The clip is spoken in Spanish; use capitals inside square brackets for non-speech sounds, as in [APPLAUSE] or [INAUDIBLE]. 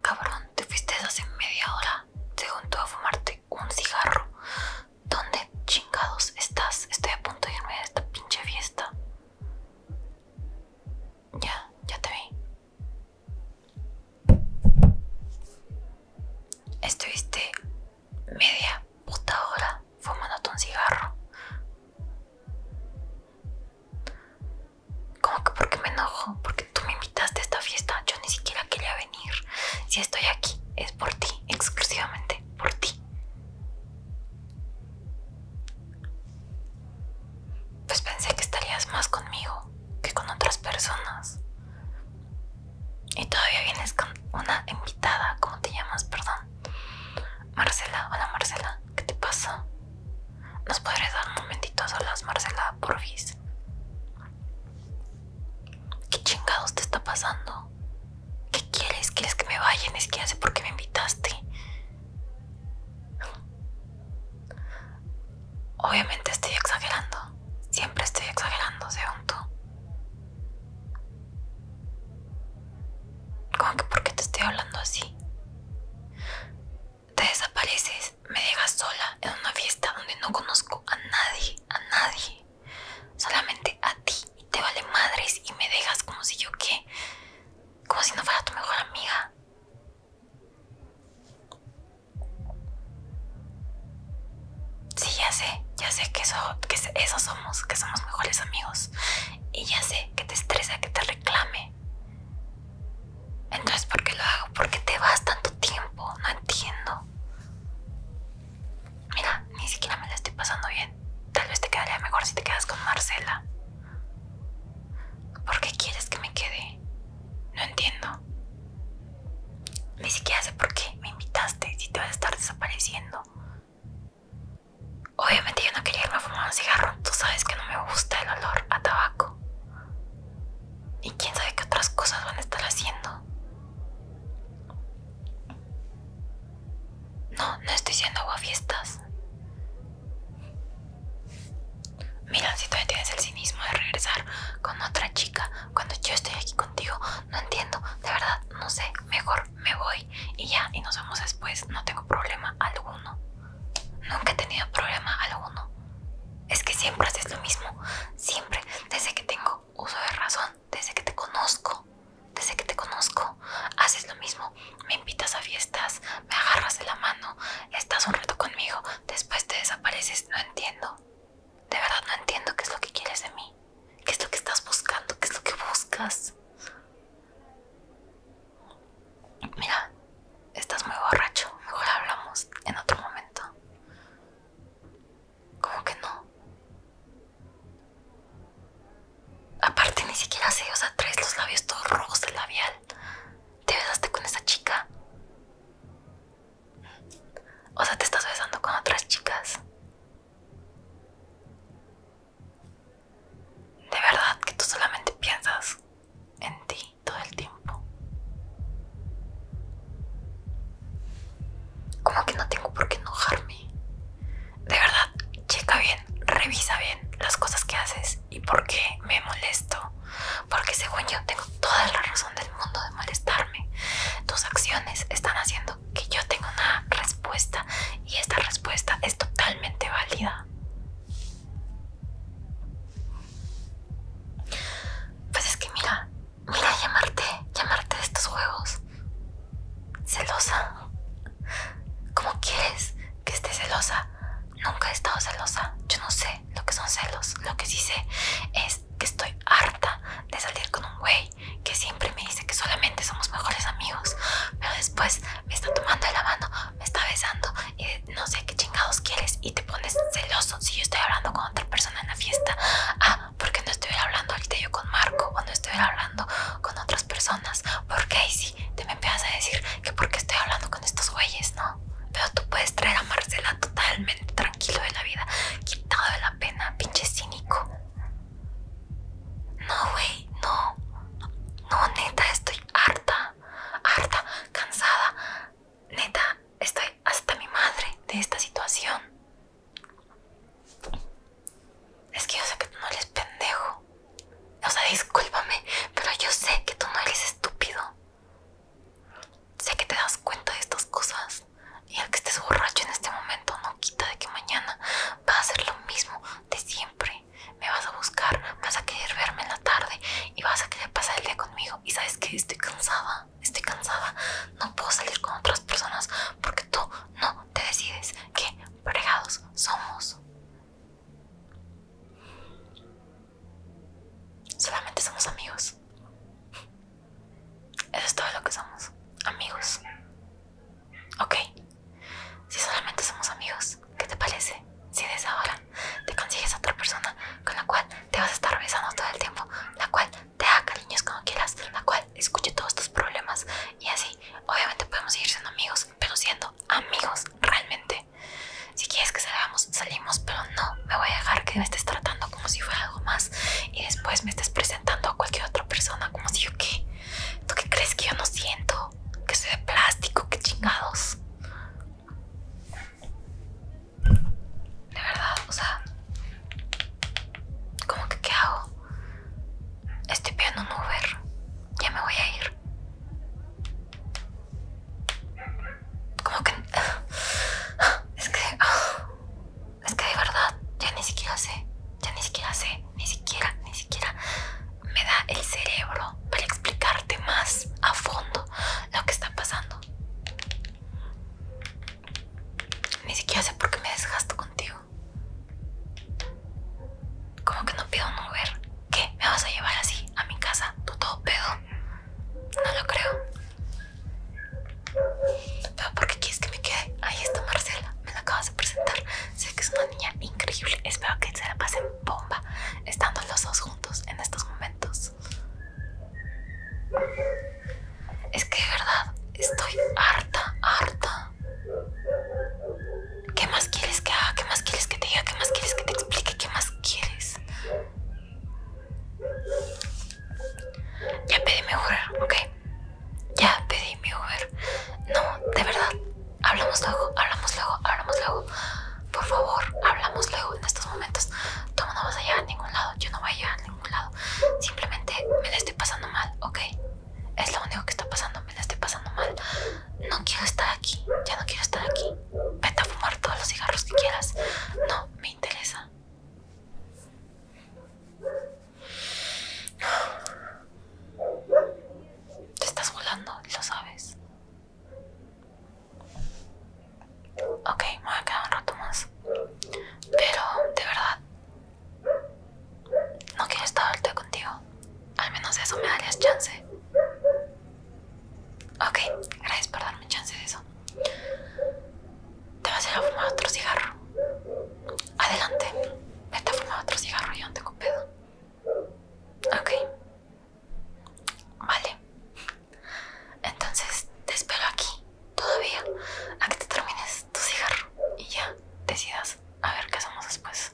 Cabrón, te fuiste hace media hora. Según juntó a fumarte un cigarro. ¿Dónde chingados estás? Estoy a punto de irme de esta pinche fiesta. Ya, ya te vi. Estuviste media puta hora fumándote un cigarro. ¿Cómo que por qué me enojo? Porque tú me invitaste a esta fiesta, yo ni siquiera quería venir. Si estoy aquí, es por ti, exclusivamente por ti. Pues pensé que estarías más conmigo que con otras personas. Y todavía vienes con una invitada, ¿cómo te llamas? Perdón. Marcela, hola Marcela, ¿qué te pasa? ¿Nos podrías dar un momentito a solas, Marcela, porfis? ¿Qué chingados te está pasando? ¿Qué quieres? ¿Quieres que me vaya? es que hace por qué me invitaste. Obviamente estoy exagerando. Siempre estoy exagerando, según tú. ¿Cómo que por qué te estoy hablando así? Te desapareces, me dejas sola en una fiesta donde no conozco a nadie, a nadie. Solamente a ti y te vale madres y me dejas como si yo qué, como si no fuera tu mejor amiga. Sí, ya sé, ya sé que eso, que eso somos, que somos mejores amigos. Y ya sé que te estresa que te reclame entonces, ¿por qué lo hago? ¿Por qué te vas tanto tiempo? No entiendo. Mira, ni siquiera me la estoy pasando bien. Tal vez te quedaría mejor si te quedas con Marcela. ¿Por qué quieres que me quede? No entiendo. Ni siquiera sé por qué me invitaste si te vas a estar desapareciendo. Obviamente yo no quería irme a fumar un cigarro. Tú sabes que no me gusta el olor a tabaco. Y quién sabe qué otras cosas van a estar haciendo. No, no estoy siendo fiestas Mira, si todavía tienes el cinismo de regresar con otra chica cuando yo estoy aquí contigo, no entiendo, de verdad, no sé, mejor me voy y ya, y nos vemos después, no tengo problema alguno. Nunca he tenido problema alguno. Es que siempre haces lo mismo, siempre, desde que tengo uso de razón, desde que te conozco, desde que te conozco, haces lo mismo, me invitas a fiestas, me agarras de la mano, estás un rato conmigo, después te desapareces, no entiendo. De verdad no entiendo qué es lo que quieres de mí, qué es lo que estás buscando, qué es lo que buscas. Mira, estás muy borracho. Mejor hablamos en otro momento. ¿Cómo que no? Aparte ni siquiera sé, o sea, traes los labios todos rojos de labial. ¿Te besaste con esa chica? O sea, te estás besando con otras chicas. De verdad que tú solamente piensas en ti todo el tiempo. Como que no tengo por qué enojarme. De verdad, checa bien, revisa bien las cosas que haces y por qué me molesto. Porque según yo tengo toda la razón del mundo de molestarme. Tus acciones están haciendo que yo tengo una respuesta y esta respuesta es totalmente válida. Pues es que mira, mira llamarte, llamarte de estos juegos. Celosa. ¿Cómo quieres que esté celosa? Nunca he estado celosa. Yo no sé lo que son celos. Lo que sí sé es que estoy harta de salir con un güey que siempre me dice que solamente somos mejores amigos, pero después me está tomando de la mano, me está besando y no sé qué chingados quieres y te pones celoso si yo estoy hablando con otra persona en la fiesta. Ah, porque no estoy hablando ahorita yo con Marco o no estuviera hablando con otras personas. Porque ahí sí te me empiezas a decir que porque estoy hablando con estos güeyes, ¿no? Pero tú puedes traer a Marcela totalmente tranquilo de la vida, quitado de la pena, pinche cínico. No, güey, no. No, neta, estoy harta, harta, cansada. Neta, estoy hasta mi madre de esta situación. Es que yo sé que tú no eres pendejo. O sea, discúlpame, pero yo sé que tú no eres estúpido. Sé que te das cuenta de estas cosas. Y el que estés borracho en este momento no quita de que mañana va a ser lo mismo de siempre. Me vas a buscar, vas a querer verme en la tarde y vas a querer pasar el día conmigo. Y sabes que estoy cansada, estoy cansada. No puedo salir con otras personas porque tú no te decides qué fregados somos. Solamente somos amigos. Eso es todo lo que somos, amigos. Ok, si solamente somos amigos, ¿qué te parece? Si desde ahora te consigues a otra persona con la cual te vas a estar revisando todo el tiempo, la cual te haga cariños como quieras, la cual escuche todos tus problemas y así, obviamente podemos seguir siendo amigos, pero siendo amigos realmente. Si quieres que salgamos, salimos, pero no me voy a dejar que me estés tratando como si fuera algo más y después me estás presentando a cualquier otra persona como si yo qué. ¿Tú qué crees que yo no siento? Que soy de plástico, que chingados. De verdad, o sea, ¿cómo que qué hago? Estoy pidiendo un Uber. Ya me voy a ir. ¿Cómo que... [SIGHS] Es que... Ah, es que de verdad, ya ni siquiera sé, ya ni siquiera sé, ni siquiera, ni siquiera me da el cerebro para explicarte más a fondo lo que está pasando. Ni siquiera sé por qué me desgasto contigo. Como que no pido un ver? ¿Qué? ¿Me vas a llevar así a mi casa? ¿Tú todo pedo? No lo creo. ¿Pero por qué quieres que me quede? Ahí está Marcela, me la acabas de presentar. Sé que es una niña increíble. Espero que se la pasen bomba estando los dos juntos en estos momentos. Es que de verdad estoy harta, harta. ¿Qué más quieres que haga? ¿Qué más quieres que te diga? ¿Qué más quieres que te explique? ¿Qué más quieres? Ya pedí mi Uber, ok. Ya pedí mi Uber. No, de verdad. Hablamos luego, hablamos luego, hablamos luego. Por favor, hablamos luego en estos momentos. Tú no vas a a ningún lado, yo no voy a a ningún lado. Simplemente me la estoy pasando mal, ok. Es lo único que está pasando, me la estoy pasando mal. No quiero estar aquí, ya no quiero estar aquí. Vete a fumar todos los cigarros que quieras. No, me interesa. Te estás volando, lo sabes. Ok, me voy a quedar un rato más. Pero, de verdad, no quiero estar contigo. Al menos eso me darías chance. Ok, gracias por darme chance de eso. Te vas a ir a fumar otro cigarro. Adelante, vete a fumar otro cigarro, yo no tengo pedo. Ok. Vale. Entonces te espero aquí, todavía, a que te termines tu cigarro y ya decidas a ver qué hacemos después.